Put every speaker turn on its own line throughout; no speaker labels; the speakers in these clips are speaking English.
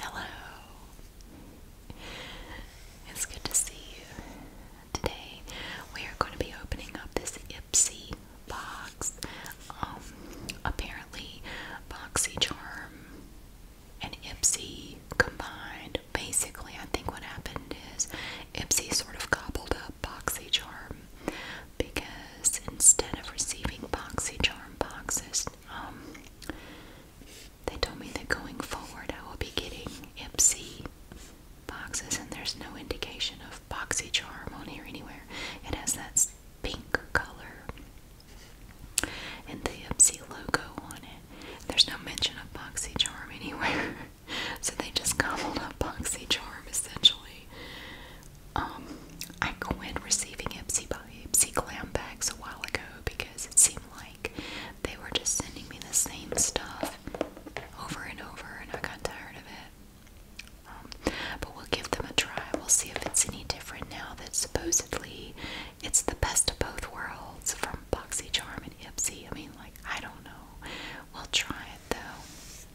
Hello. It's good to see you. Today we are going to be opening up this Ipsy box. Um apparently BoxyCharm and Ipsy combined. Basically, I think what happened is Ipsy sort of gobbled BoxyCharm because instead of receiving BoxyCharm boxes, um, they told me that going forward I will be getting Ipsy boxes, and there's no indication of BoxyCharm on here anywhere. It has that pink color and the Ipsy logo on it. There's no mention of BoxyCharm anywhere. so they just gobbled up BoxyCharm essentially. Um, I quit receiving Ipsy by Ipsy glam bags a while ago because it seemed like they were just sending me the same stuff over and over, and I got tired of it. Um, but we'll give them a try. We'll see if it's any different now that supposedly it's the best of both worlds from BoxyCharm and Ipsy. I mean, like, I don't know. We'll try it though.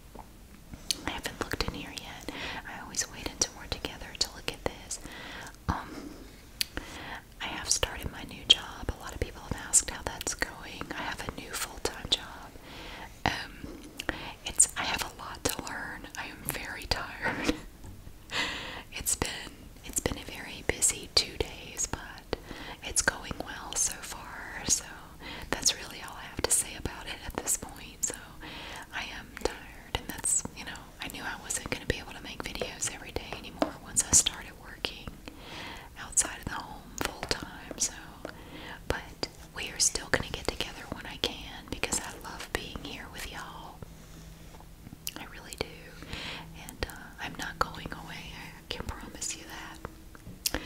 I haven't looked in here yet. I always wait until we're together to look at this. Um, I have started my new job. A lot of people have asked how that's going. I have a new full-time job. Um, it's I have a lot to learn. I am very tired. it's been it's been a very busy two days, but it's going well so far. So that's really all I have to say about it at this point. So I am tired, and that's you know I knew I wasn't going to be able to make videos every day anymore once I started working outside of the home full time. So, but we are still going to get together when I can because I love being here with y'all. I really do, and uh, I'm not going away. I can promise you that.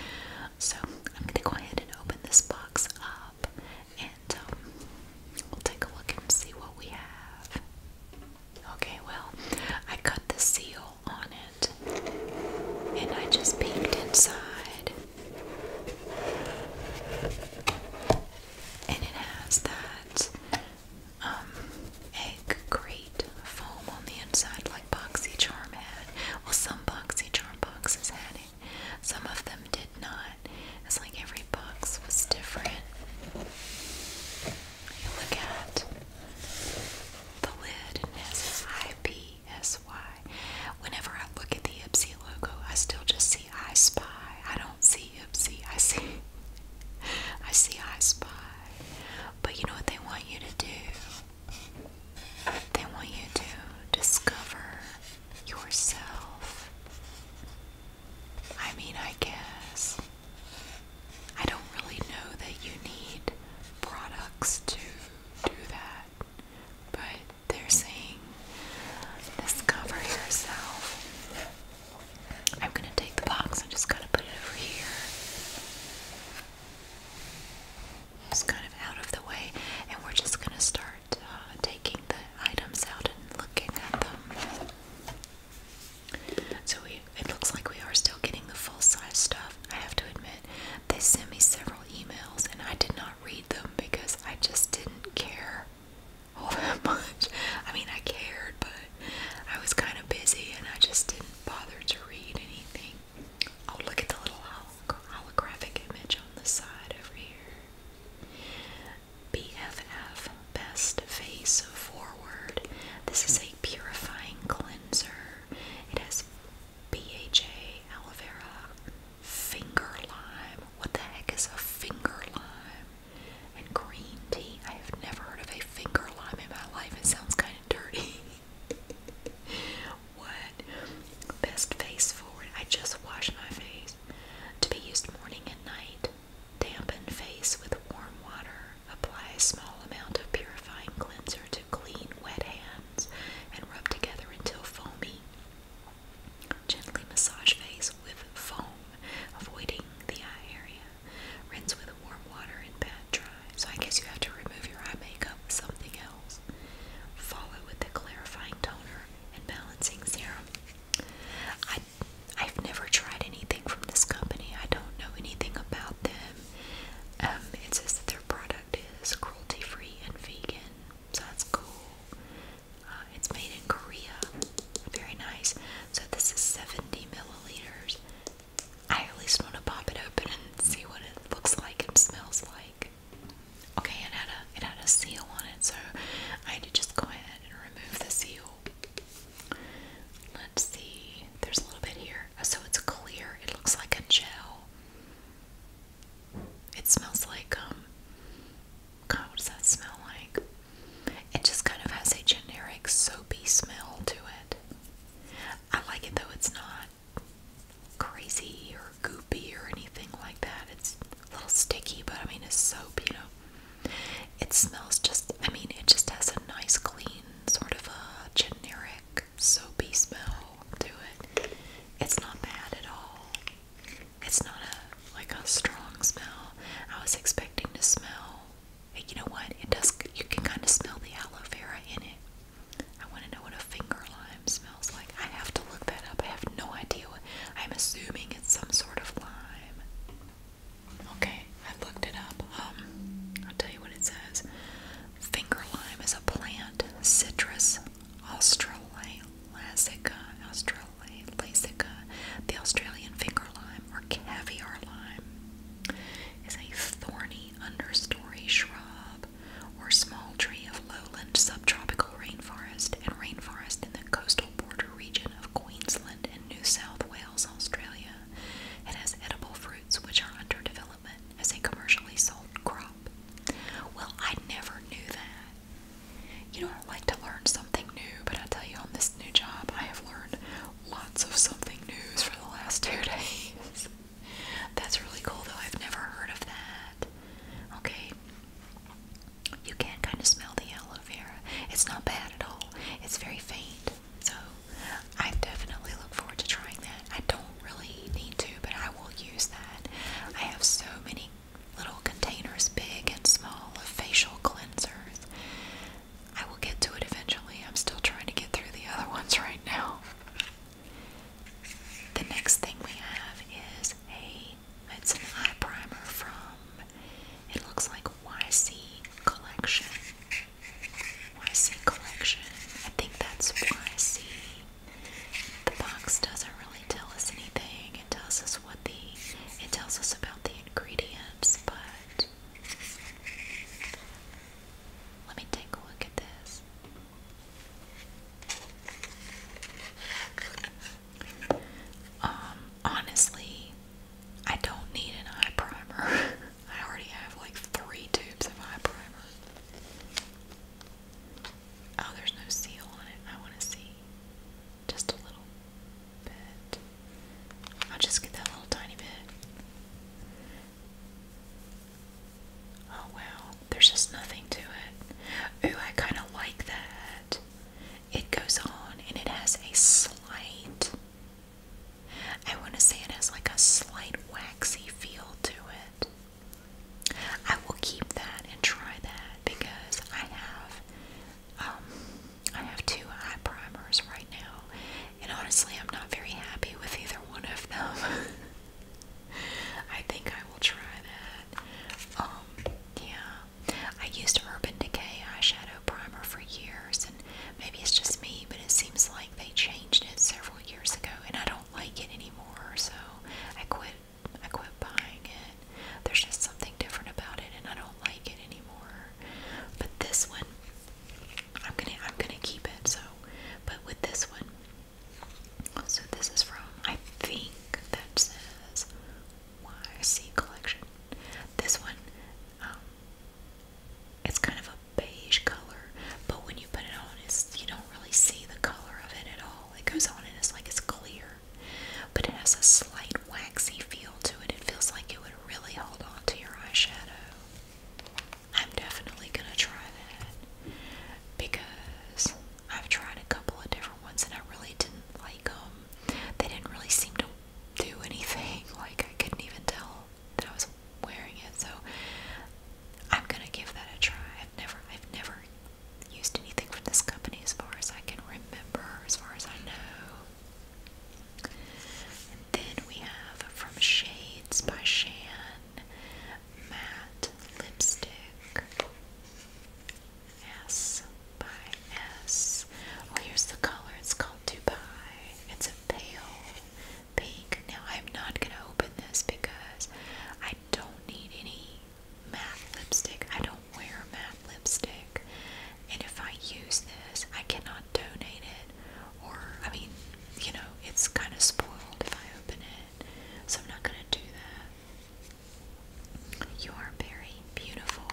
So I'm gonna go ahead and open this box up and um, we'll take a look and see what we have. Okay, well, I cut the seal on it and I just peeked inside. And it has that um, egg crate foam on the inside, like Boxy Charm had. Well, some boxy. Some of them did not. It's like every box was different. You look at the lid and it has IPSY. Whenever I look at the Ipsy logo, I still just see I Spy. I don't see Ipsy. I see I see I Spy. But you know what they want you to do? They want you to discover yourself. I mean, I guess. I don't really know that you need products to do that, but they're saying discover yourself. I'm gonna take the box I'm just gonna put it over here is kind of out of the way, and we're just going to start uh, taking the items out and looking at them. So we, it looks like we are still getting the full size stuff. I have to admit, they sent me several emails, and I did not read them because I just didn't care all that much. I mean, I cared, but I was kind of busy, and I just didn't bother to read anything. Oh, look at the little holographic image on the side over here. BFF, Best Face Forward. This is a purifying cleanser. It has BHA, aloe vera, finger lime. What the heck is a finger lime? And green tea. I have never heard of a finger lime in my life. It sounds kind of dirty. what? Best face forward. I just washed my face. To be used morning and night. Dampen face with warm water. Apply a small amount of purifying cleanser to clean wet hands and rub together until foamy. Gently massage face with foam, avoiding the eye area. Rinse with warm water and pat dry. So I guess you have to remove your eye makeup with something else oils. Follow with a clarifying toner and balancing serum. I, I've never tried anything from this company. I don't know anything about them. Um, it says that their product is cruelty-free and vegan, so that's cool. Uh, it's made in Korea. Very nice. So this is 70 milliliters. I at least want to pop it open and see what it looks like and smells like okay it had a it had a seal on it so I had to just go ahead and remove the seal. Let's see there's a little bit here. Uh, so it's clear. It looks like a gel. It smells like um God what does that smell like? It just kind of has a generic soapy smell to it. I like it though it's not crazy or goopy or anything like that. It's a little sticky, but I mean, it's soap, you know. It smells just, I mean, it just has a nice, clean, sort of a generic soapy smell to it. It's not bad at all. It's not a like a strong smell. I was expecting to smell. You know what? It does. You can kind of smell the aloe vera in it. I want to know what a finger lime smells like. I have to look that up. I have no idea. What, I'm assuming it's some sort of lime. Okay, I looked it up. Um, I'll tell you what it says. Finger lime is a plant, citrus australasica, australasica, the Australian finger lime or caviar lime. Is a thorny understory shrub or small tree of lowland subtropical rainforest and rainforest in the coastal border region of Queensland and New South Wales, Australia. It has edible fruits which are under development as a commercially sold crop. Well, I never knew that. You know, I like to learn something new, but I tell you, on this new job, I have learned lots of something news for the last two days. That's really cool though. I've never heard of that. Okay. You can kind of smell the aloe vera. It's not bad at all. It's very faint. So I definitely look forward to trying that. I don't really need to, but I will use that. I have so many little containers, big and small, of facial cleansers. I will get to it eventually. I'm still trying to get through the other ones right now. The next thing we have is a it's an eye primer from it looks like YC Collection. YC Collection. I think that's YC. The box doesn't really tell us anything. It tells us what the it tells us about the ingredients, but let me take a look at this. Um, honestly, I don't need an eye primer. I already have like three tubes of eye primer. Oh, there's no seal on it. I want to see just a little bit. I'll just get that little tiny bit. Oh wow, there's just nothing to it. Ooh, I kind of like that. It goes on and it has a slight, I want to say it has like a slight waxy feel to it. I will keep that and try that because I have um I have two eye primers right now and honestly I'm not very happy with either one of them. I think I will try that. Um, yeah. I used Urban Decay eyeshadow primer for years, and maybe it's just me, but it seems like they changed it several years ago, and I don't like it anymore, so I quit. I quit buying it. There's just something different about it, and I don't like it anymore. But this one, I'm gonna, I'm gonna keep it. So, but with this one, so this is from, I think that says YC Collection. This one, um, it's kind of a beige color, but when you put it on, it's, you don't really see the color of it at all. It goes on and it's like it's clear, but it has a slight waxy feel to it. It feels like it would really hold on to your eyeshadow. I'm definitely gonna try that because I've tried a couple of different ones and I really didn't like them. They didn't really seem to do anything. Like I couldn't even tell that I was wearing it. So I'm gonna give that a try. I've never, I've never used anything from this company as far as I can remember, as far as I know. then we have from Shades by Shan matte lipstick. S by S. Oh, here's the color. It's called Dubai. It's a pale pink. Now, I'm not going to open this because I don't need any matte lipstick. I don't wear matte lipstick. And if I use this, I cannot donate it. Or, I mean, you know, it's kind of spoiled if I open it. So I'm not going to do that. You are very beautiful.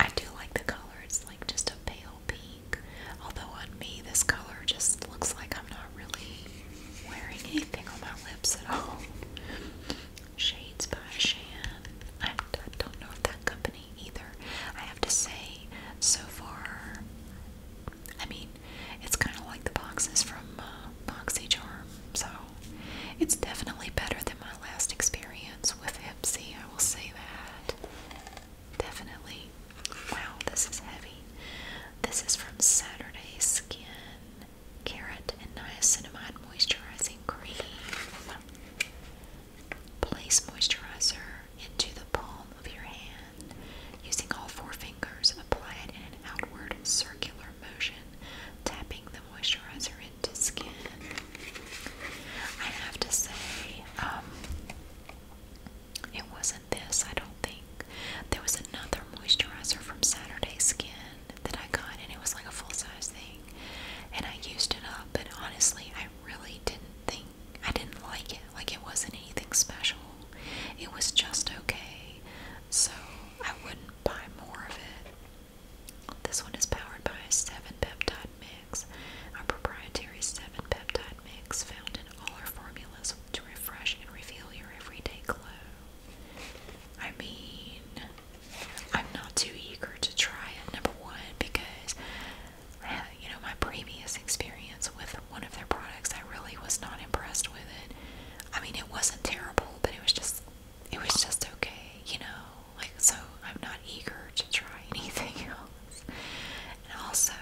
I do like the color. It's like just a pale pink. Although on me, this color just looks like I'm not really wearing anything on my lips at all. Shades by Shan. I, don't know if that company either. I have to say, so far, I mean, it's kind of like the boxes from uh, BoxyCharm, so it's definitely better than my last experience with Ipsy, I will say that. Definitely. Wow, this is heavy. This is from Saturday Skin Carrot and Niacinamide Moisturizing Cream. Place moisturizer into the palm of your hand. Using all four fingers, apply it in an outward circular motion, tapping the moisturizer into skin. I have to say, um, it wasn't this, I don't think. There was another moisturizer from Saturday Skin that I got, and it was like a full size thing. And I used it up, but honestly, I really didn't think I didn't like it. Like, it wasn't anything special. It was just okay, so I wouldn't buy more of it. This one is powered by a 7 peptide mix, a proprietary 7 peptide mix found in all our formulas to refresh and reveal your everyday glow. I mean, I'm not too eager to try it, number one, because uh, you know, my previous experience with one of their products. I really was not impressed with it. I mean, it wasn't terrible, but it was just it was just okay, you know. Like so, I'm not eager to try anything else. And also,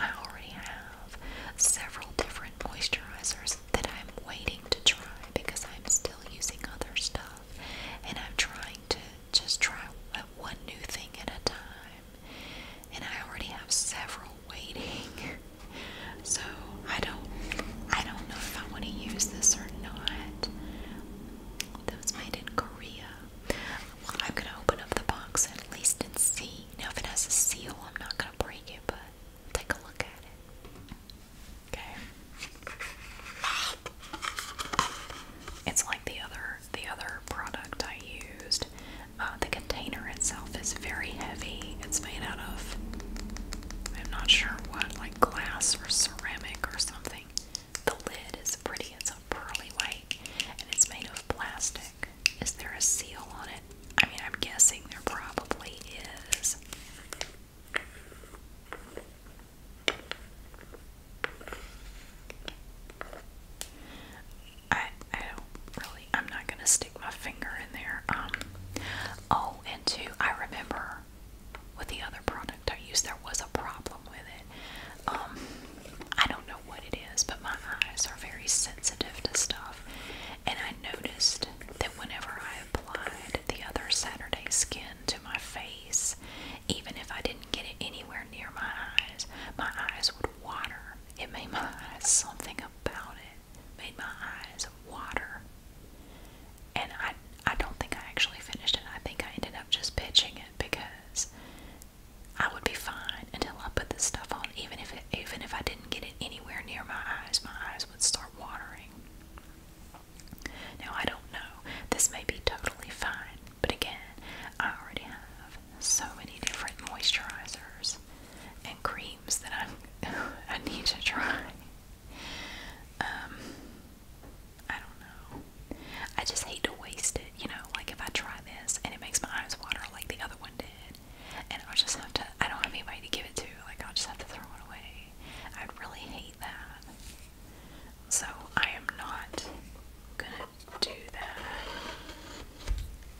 I already have several different moisturizers that I'm waiting to try because I'm still using other stuff and I'm trying to just try one new thing at a time and I already have several waiting. So I don't I don't know if I want to use this or not. That was made in Korea. Well, I'm gonna open up the box at least and see. Now if it has a seal, I'm not gonna break it, but take a look at it. Okay. It's like the other the other product I used. Uh, the container itself is very heavy. It's made out of, I'm not sure what, like glass or ceramic or something. The lid is pretty, it's a pearly white, and it's made of plastic. Is there a seal on it? I mean, I'm guessing there probably is. I I don't really I'm not gonna stick my finger in there. Um, oh and two I remember with the other product I used there was a problem with it. Um, I don't know what it is, but my eyes are very sensitive to stuff. And I noticed that whenever I applied the other Saturday skin to my face, even if I didn't get it anywhere near my eyes, my eyes would water. It made my eyes something about it made my eyes water. And I I don't think I actually finished it. I think I ended up just pitching it because I would be fine until I put this stuff on. Even if even if I didn't get it anywhere near my eyes, my eyes would start watering. Now I don't know. This may be totally fine, but again, I already have so many different moisturizers and creams that i I need to try. Um, I don't know. I just hate to waste it, you know. Like if I try this and it makes my eyes water like the other one did, and i just have to. I don't have anybody to give it to. Like I'll just have to throw it away. I'd really hate that. So I am not gonna do that.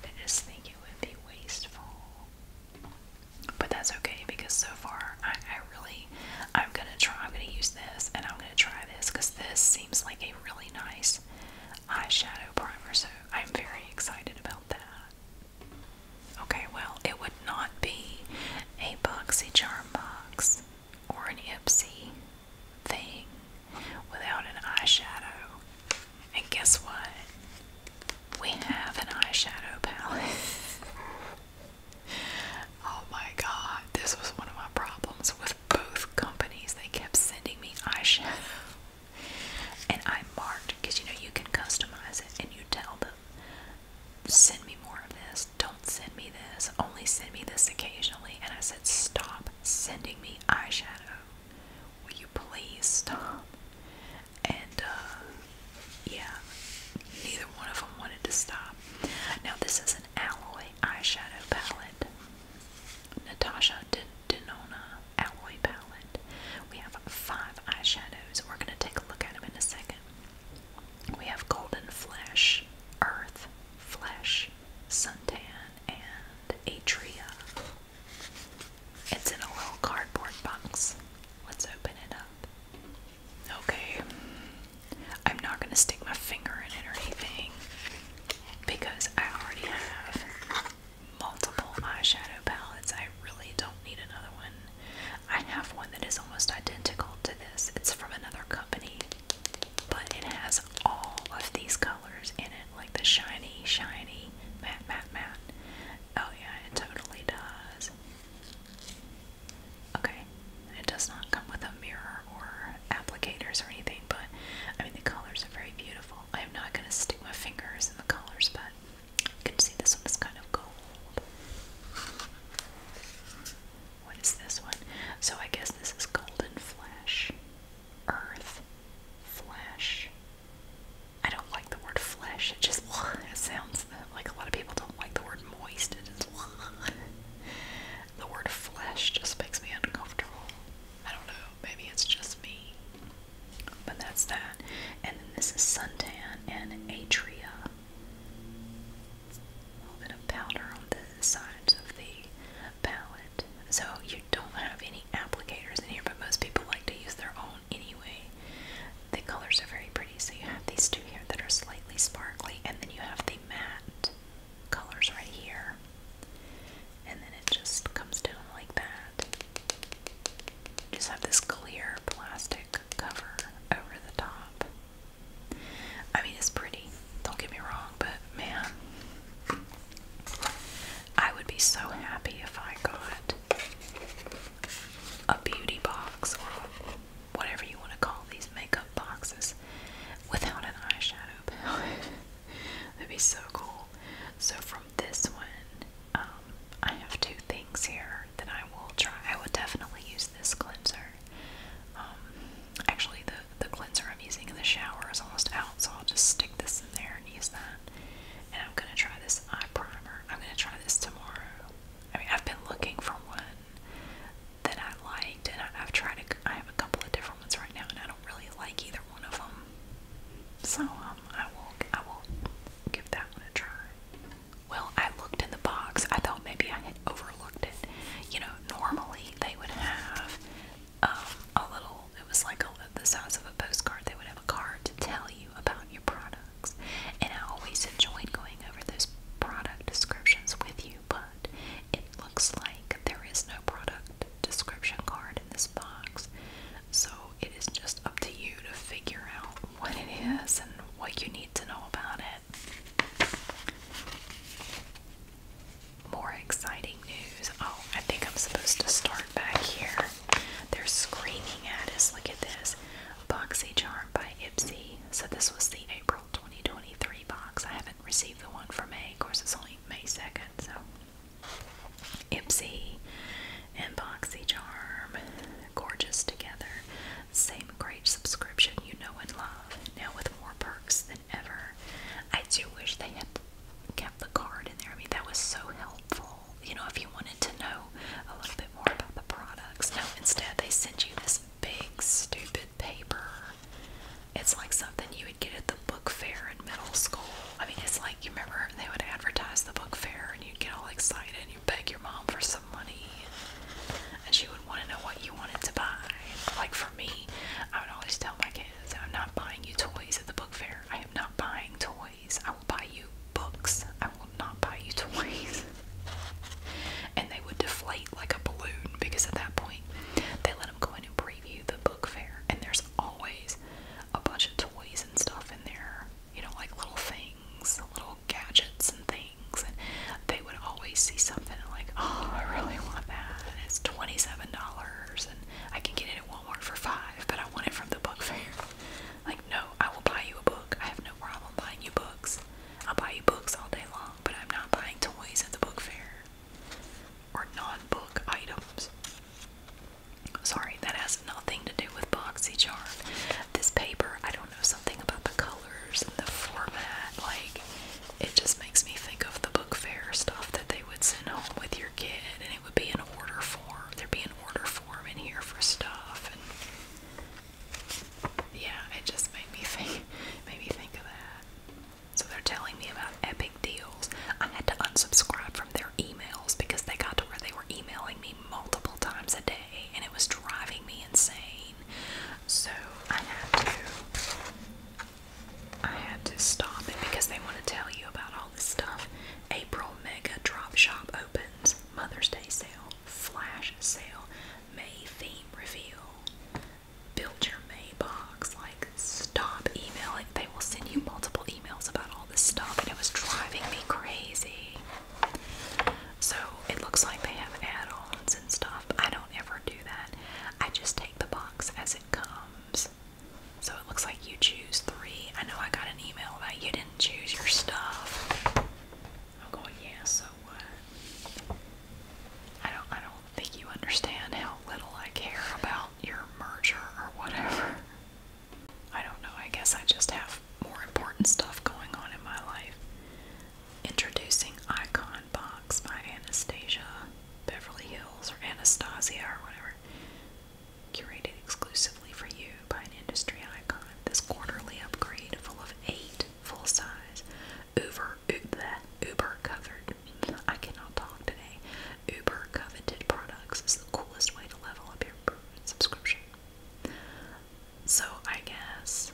I just think it would be really wasteful. But that's okay because so far I, I really I'm gonna try I'm gonna use this and I'm gonna try this because this seems like a really nice eyeshadow primer, so I'm very excited about that. Okay, well it would not be a boxy charm box or an Ipsy thing without an eyeshadow and guess what? We have an eyeshadow palette. oh my god, this was one of my problems with both companies. They kept sending me eyeshadow. And I marked, because you know, you can customize it and you tell them, send me more of this, don't send me this, only send me this occasionally. And I said, stop sending me eyeshadow. Will you please stop? And, uh, yeah, neither one of them wanted to stop. Now, this is an alloy eyeshadow palette. Natasha Denona alloy palette. We have five eyeshadows. We're going to take a look at them in a second. We have Golden Flesh, Earth, Flesh, Suntan, and Atria. It's in a little cardboard box. Let's open it up. Okay. I'm not going to stick my finger in it or anything because I already have multiple eyeshadow palettes. I really don't need another one. I have one that is almost identical to this. It's from another company, but it has all of these colors in it, like the shiny, shiny, matte, matte, matte. Oh yeah, it totally does. Okay, it does not come with a mirror or applicators or anything, but I mean the colors are very beautiful. I am not going to stick my fingers in the colors, but you can see this one is kind of gold. What is this one? So I guess this is golden flesh, earth, flesh, I don't like the word flesh. It just it sounds like a lot of people don't like the word moist. It is the word flesh just makes me uncomfortable. I don't know. Maybe it's just me. But that's that. And then this is suntan and atria. A little bit of powder on the sides of the palette. So you don't have any applicators in here, but most people like to use their own anyway. The colors are very pretty. So you have these two here that are slightly sparkly, and then you have the matte colors right here. And then it just comes down like that. Just have this clear plastic cover over the top. I mean, it's pretty, don't get me wrong, but man, I would be so happy if I got a beauty box or whatever you want to call these makeup boxes without an eyeshadow palette. would be so cool. So from this one, um, I have two things here that I will try. I will definitely use this cleanser. Um, actually, the the cleanser I'm using in the shower is almost out, so I'll just stick this in there and use that. And I'm gonna try this eye primer. I'm gonna try this tomorrow. I mean, I've been looking for one that I liked, and I, I've tried. A, have tried I have a couple of different ones right now, and I don't really like either one of them. So um, I will. I will give that one a try. Well, I looked in the box. I thought maybe I had overlooked it. You know, normally they would have um, a little people. It was like a, the size of a postcard. They would have a card to tell you about your products. And I always enjoyed going over those product descriptions with you, but it looks like there is no product description card in this box. So it is just up to you to figure out what it is and what you need to know about it. More exciting news. Oh, I think I'm supposed to start back here. They're screaming at us. Look at this. Boxy Charm by Ipsy. So this was the April 2023 box. I haven't received the one for May. Of course, it's only May 2nd, so. Ipsy and Boxy Charm. Gorgeous together. Same great subscription you know and love. Now with more perks than ever. I do wish they had kept the card in there. I mean, that was so helpful all, you know, if you wanted to know a little bit more about the products. No, instead they sent you this big, stupid paper. It's like something you would get at the book fair in middle school. I mean, it's like, you remember, they would advertise the book fair and you'd get all excited and you'd beg your mom for some money. And she would want to know what you wanted to buy. Like for me, I would always tell my kids, I'm not buying you toys at the book fair. I am not buying toys. I will buy you books. I will not buy you toys. and they would deflate like a balloon because at that point they let them go in and preview the book fair. And there's always a bunch of toys and stuff in there, you know, like little things, little gadgets and things. And they would always see something and like, oh, I really want that. And it's $27 and I can get it at Walmart for five, but I want it from the book fair. Like, no, I will buy you a book. I have no problem buying you books. I'll buy you books all day long, but I'm not buying toys at the book fair or non book items. Sorry, that has nothing to do with BoxyCharm. This paper, I don't know, something about the colors and the format. Like, it just makes me think of the book fair stuff that they would send home with your kid, and it would be in order form. There'd be an order form in here for stuff, and yeah, it just made me think, made me think of that. So they're telling me about epic deals. I had to unsubscribe from their emails because they got to where they were emailing me multiple times a day, and it was driving me insane. So I had to. I had to stop it because they want to tell you about stuff. April mega drop shop opens. Mother's Day sale. Flash sale. May theme reveal. Build your May box. Like, stop emailing. They will send you multiple emails about all this stuff, and it was driving me crazy. So it looks like they have add-ons and stuff. I don't ever do that. I just take the box as it comes. So it looks like you choose three. I know I got an email that you didn't choose your stuff. I'm going, yeah, so what? I don't I don't think you understand how little I care about your merger or whatever. I don't know, I guess I just have more important stuff going on in my life. Introducing Icon Box by Anastasia Beverly Hills or Anastasia or whatever. Curated exclusively for you by an industry icon, this quarterly upgrade full of eight full-size Uber Uber Uber covered. I cannot talk today. Uber coveted products is the coolest way to level up your subscription. So I guess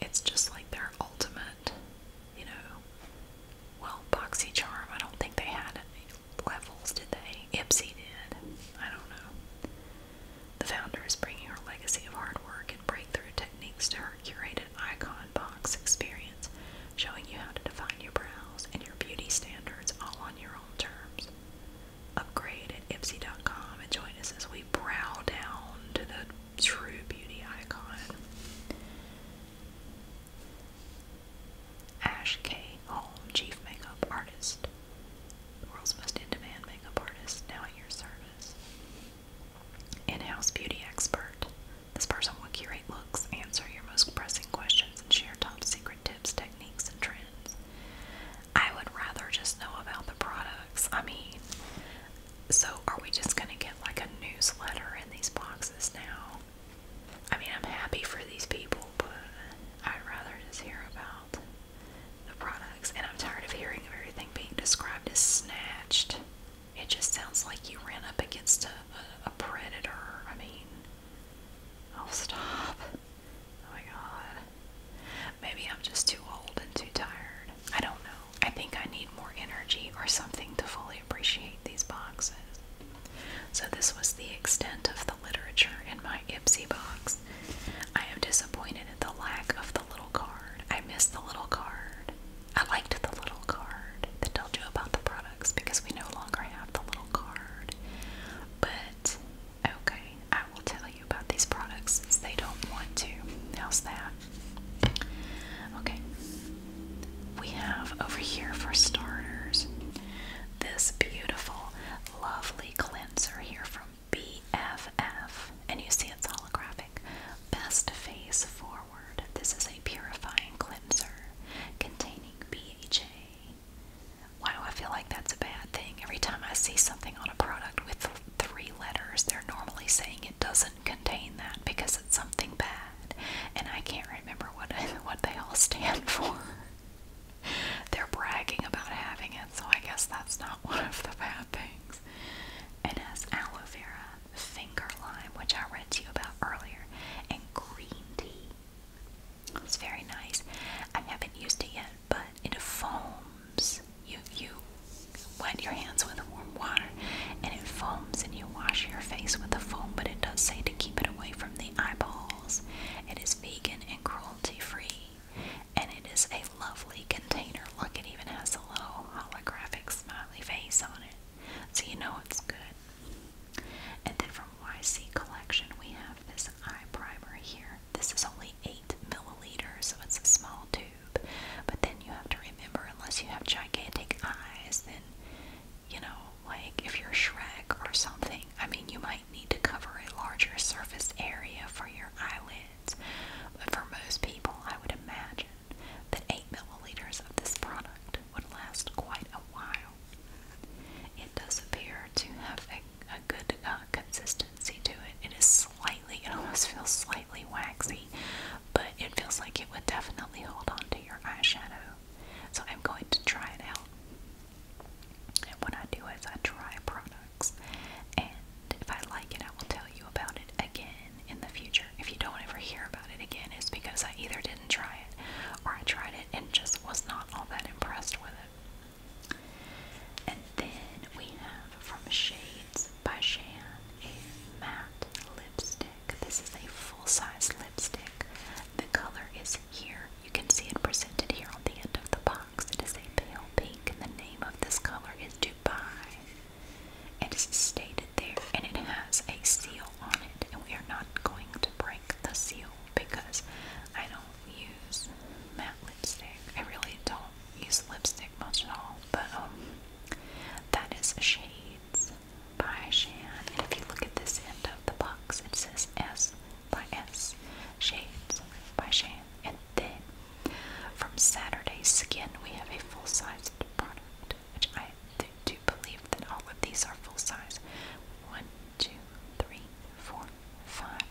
it's just like their ultimate, you know. Well, boxy charm. I don't think they had it levels, did they? Ipsy did. I don't know. The founder is bringing her legacy of hard work and breakthrough techniques to her curated icon box experience, showing you how to define your brows and your beauty standards all on your own terms. Upgrade at Ipsy.com and join us as we brow down to the true beauty icon. Ash K. Hall, Chief Makeup Artist, the world's most in demand makeup artist, now at your service. In house beauty expert. This person will curate looks, answer your most pressing questions, and share top secret tips, techniques, and trends. I would rather just know about the products. I mean, so are we just going to get like a newsletter in these boxes now? I mean, I'm happy for these people, but I'd rather just hear about the products, and I'm tired of hearing everything being described as snatched. It just sounds like you ran up against a, predator. I mean, I'll oh, stop. Oh my god. Maybe I'm just too old and too tired. I don't know. I think I need more energy or something to fully appreciate these boxes. So, this was the extent of literature in my Ipsy box. I am disappointed at the lack of the little card. I missed the little card. I liked the little card that told you about the products because we no longer have the little card. But okay, I will tell you about these products since they don't want to. How's that? Okay. We have over here for starters this beautiful lovely cleanser here from BFF. And you see it's holographic. Best Face Forward. This is a purifying cleanser containing BHA. Wow, I feel like that's a bad thing. Every time I see something on a product with three letters, they're normally saying it doesn't contain that because it's something bad. And I can't remember what what they all stand for they're bragging about having it, so I guess that's not one of the bad things. It has aloe vera, finger lime, which I read to you about earlier, and green tea. It's very nice. I haven't used it yet, but it foams. You you wet your hands with warm water and it foams and you wash your face with the foam, but it does say to keep it away from the eyeballs. It is vegan and cruelty free. And it is a lovely container. Look, it even has a little holographic smiley face on it. So you know it's good. And then from YC Collection, we have this eye primer here. This is only 8 milliliters, so it's a small tube. But then you have to remember, unless you have gigantic eyes, then, you know, like if you're Shrek or something, I mean, you might need to cover a larger surface area for your eyelids, but for most people, I would imagine that 8 milliliters of this product would last quite a while. It does appear to have a, good uh, consistency to it. It is slightly, it almost feels slightly waxy, but it feels like it would definitely hold on to your eyeshadow. So I'm going to try it out. And what I do is I try products, and if I like it, I will tell you about it again in the future. If you don't ever hear about it again, it's because I either didn't try it or I tried it and just was not all that impressed with it. And then we have from Shades by Shan a matte lipstick. This is a full size lipstick. The color is here. You can see it presented here on the end of the box. It is a pale pink, and the name of this color is Dubai. And It is stated there, and it has a seal on it, and we are not going to break the seal because I don't use matte lipstick. I really don't use lipstick much at all, but um, that is Shades by Shan. And if you look at this end of the box, it says S by S, shades by Shan, and then from Saturday Skin we have a full-sized product, which I do believe that all of these are full-size. One, two, three, four, five.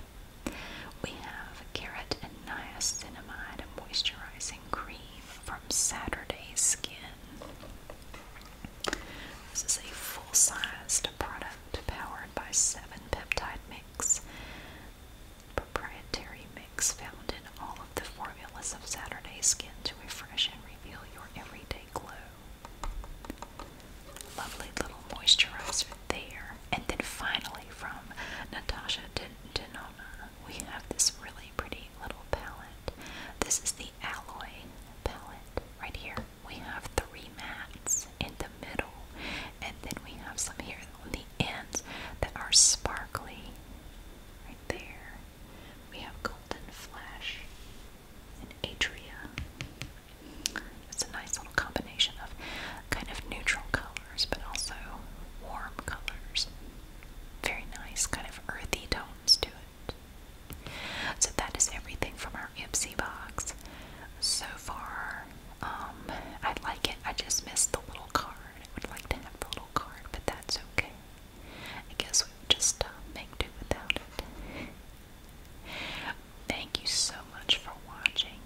We have a carrot and niacinamide moisturizing cream from Saturday Skin. This is a full-sized product powered by seven peptide mix, proprietary mix found in all of the formulas of Saturday Skin to refresh and reveal your everyday glow. Lovely little moisturizer there. And then finally from Natasha Denona, we have this really pretty little palette. This is the Alloy palette right here we have three mats in the middle, and then we have some here on the ends that are sparkly. Right there, we have Golden Flash and Atria. It's a nice little combination of kind of neutral colors, but also warm colors. Very nice, kind of earthy tones to it. So that is everything from our our box. So far, um, I like it. I just missed the little card. would like to have the little card, but that's okay. I guess we just uh, make do without it. Thank you so much for watching.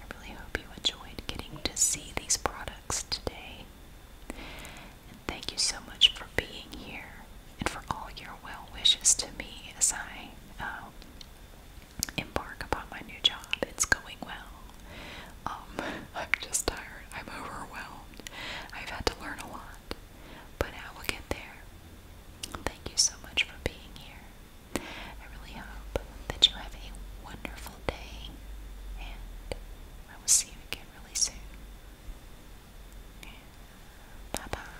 I really hope you enjoyed getting to see these products today. And thank you so much for being here and for all your well wishes to me as I um, embark upon my new job. It's going well. Um, I'm just tired. I'm overwhelmed. I've had to learn a lot, but I will get there. Thank you so much for being here. I really hope that you have a wonderful day, and I will see you again really soon. Bye bye.